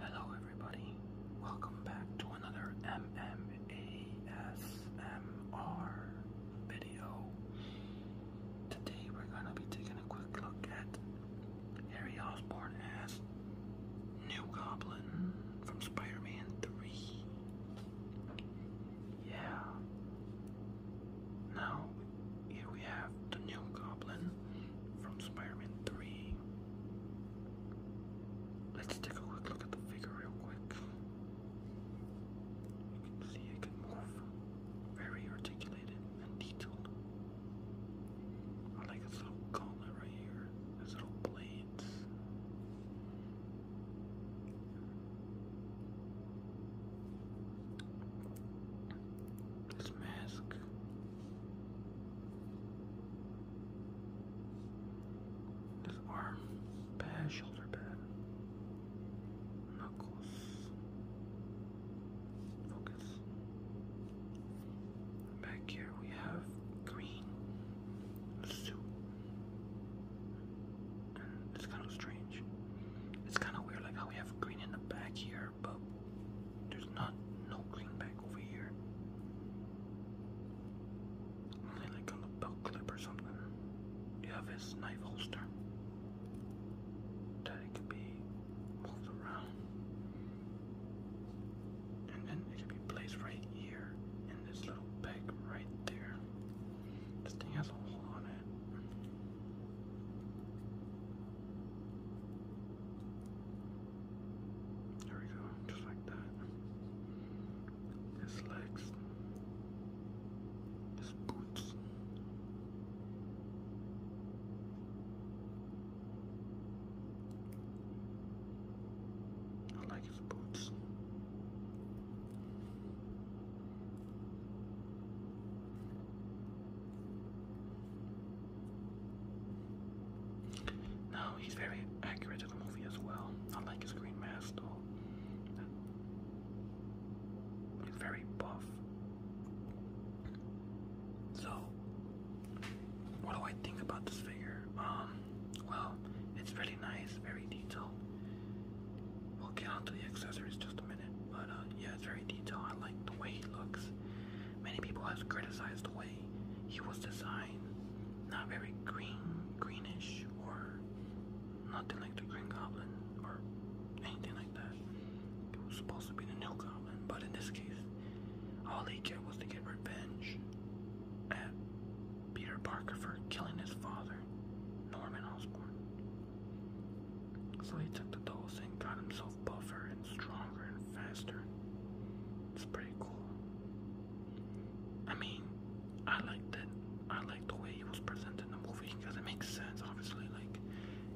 Hello, everybody. Welcome back to another MMASMR video. Today, we're gonna be taking a quick look at Harry Osborn as New Goblin from Spider Man 3. Yeah. Now, here we have the new goblin from Spider Man 3. Let's take a quick look at the figure, real quick. You can see it can move. Very articulated and detailed. I like his little gauntlet right here, his little blades. This mask. This arm pad, shoulder pad, knuckles, focus. Back here we have green suit, it's kind of strange. It's kind of weird, like how we have green in the back here, but there's not no green back over here. Only like a belt clip or something. You have his knife holster. That could be moved around. And then it could be placed right here in this little peg right there. This thing has a hole on it. There we go, just like that. His legs. His boots. I like these he's very accurate to the movie as well. I like his green mask though. He's very buff. So, what do I think about this figure? Um, well, it's really nice, very detailed. We'll get onto the accessories just a minute, but uh, yeah, it's very detailed. I like the way he looks. Many people have criticized the way he was designed. Not very green, greenish, or nothing like the Green Goblin, or anything like that. It was supposed to be the new Goblin, but in this case, all he did was to get revenge at Peter Parker for killing his father, Norman Osborn. So he took the dose and got himself buffer and stronger and faster. It's pretty cool. I mean, I liked it. I liked the way he was presented in the movie because it makes sense, obviously. Like,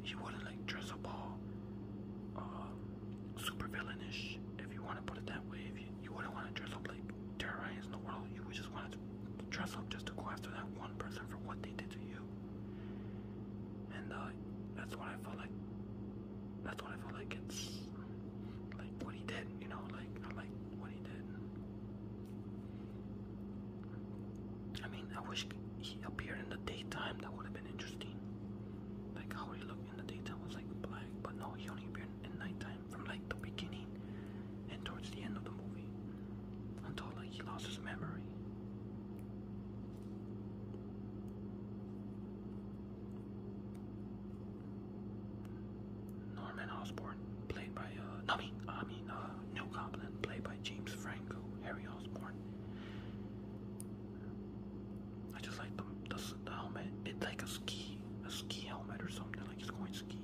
he wouldn't like dress up all. Uh, super villainish, if you want to put it that way. If you, you wouldn't want to dress up like terrorize in the world, you would just want to dress up just to go after that one person for what they did to you. And uh, that's what I felt like. That's what I felt like. It's like what he did, you know. Like I like what he did. I mean, I wish he appeared in the daytime. That would have been interesting. Like how he looked the data was like black, but now he only appeared in nighttime from like the beginning and towards the end of the movie until like he lost his memory. Norman Osborn, played by uh, no, I mean, uh, New Goblin, played by James Franco, Harry Osborn. I just like the, the, the helmet. It's like a ski, a ski helmet or something. Like he's going skiing.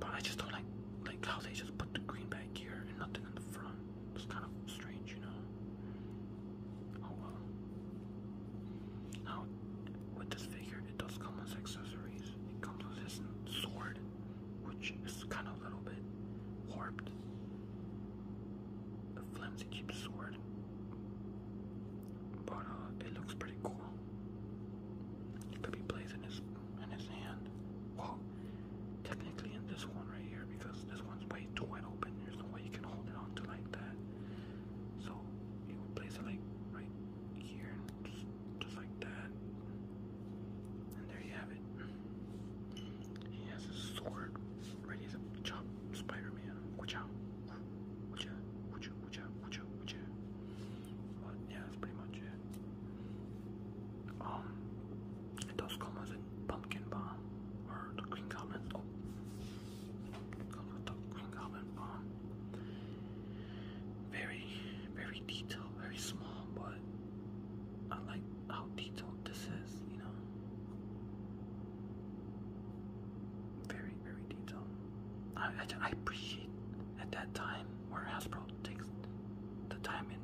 But I just don't like like how they just put the green back here and nothing in the front. It's kind of strange, you know. Oh well. Now with this figure, it does come as accessories. It comes with this sword, which is kind of a little bit warped. A flimsy, cheap sword. But uh, it looks pretty cool. could be blazed in his, in his hand. Well, technically in this one right here, because this one's way too wide open. There's no way you can hold it onto like that. So, you would place it like right here, just, just like that. And there you have it. He has his sword ready to chop Spider-Man. Watch out! Watch out! Watch out! Watch out! Watch out! Watch out! But yeah, that's pretty much it. Um, those commas in Pumpkin Bomb or the Green Goblin. Oh, very, very detailed, very small, but I like how detailed this is, you know. Very, very detailed. I, I, appreciate at that time where Hasbro takes the time in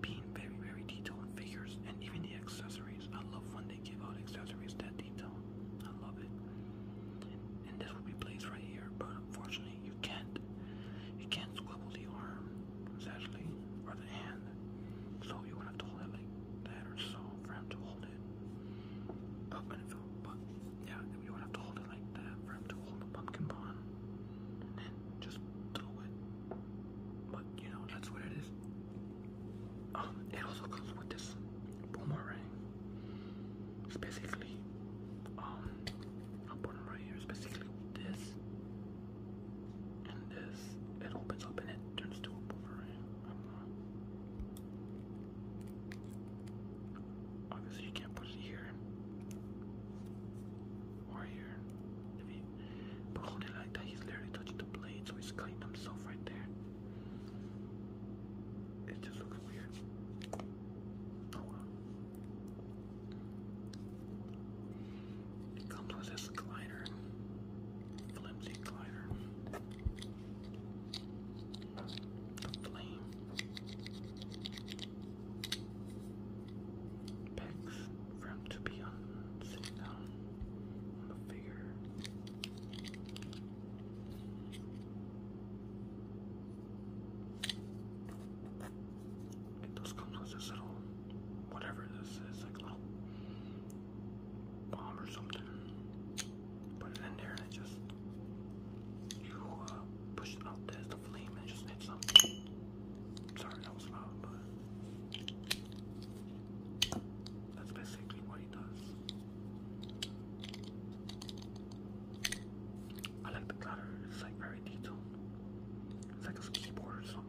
being very, very detailed figures and even the accessories. I love when they give out accessories that detail. I love it. And this will be placed right here, but unfortunately you can't you can't squibble the arm, essentially, or the hand. So you're to hold it like that or so for him to hold it. Up and but yeah, you're to hold it like that for him to hold the pumpkin bond. And then just throw it. But you know, that's what it is. Ah, it also comes with this boomerang. It's basically, um, I'll put basically this and this. It opens up and it turns to a boomerang. Obviously, you can't put it here or here. but hold it like that, he's literally touching the blade, so he's cutting himself right there. It just looks weird. Oh, comes with this glider, flimsy glider. The flame. for him to be on sitting down a figure. It with this little, whatever this is, like little bomb or something. Put it in there and just, you uh, push it out the flame and just hits something. Sorry that was loud, that's basically what he does. I like the clatter, it's like very detailed. It's like a keyboard or something.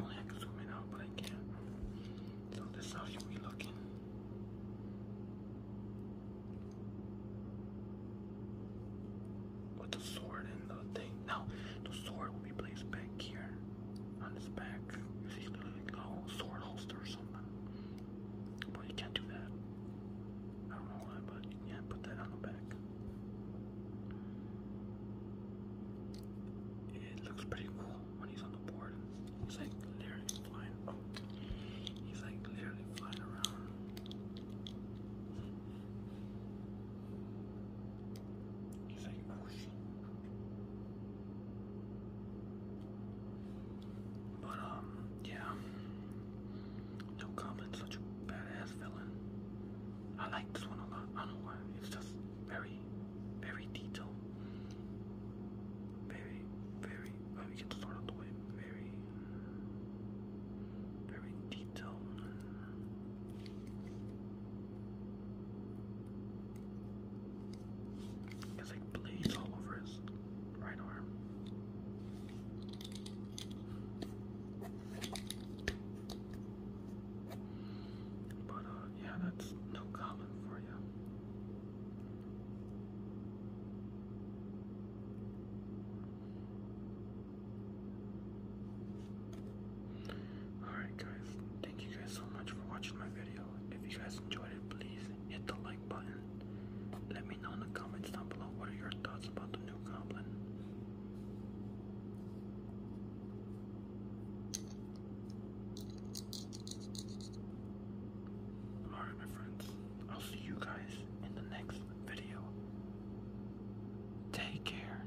only I could zoom it out, but I can't. So this how you be looking. With the sword and the thing. Now, the sword will be placed back here on his back. You see, like a whole sword holster or something. But you can't do that. I don't know why, but yeah, put that on the back. It looks pretty cool when he's on the board. He's like literally flying. Oh, he's like literally flying around. He's like, oh but um, yeah. No comments, such a badass villain. I like this one a lot. I don't know why. It's just very, very detailed. Very, very. Let get this one Very, very detailed. It's like blades all over his right arm. But uh, yeah, that's no comment for you. Alright, guys, Thank you guys so much for watching my video. If you guys enjoyed it, please hit the like button. Let me know in the comments down below what are your thoughts about the new goblin. Alright, my friends, I'll see you guys in the next video. Take care.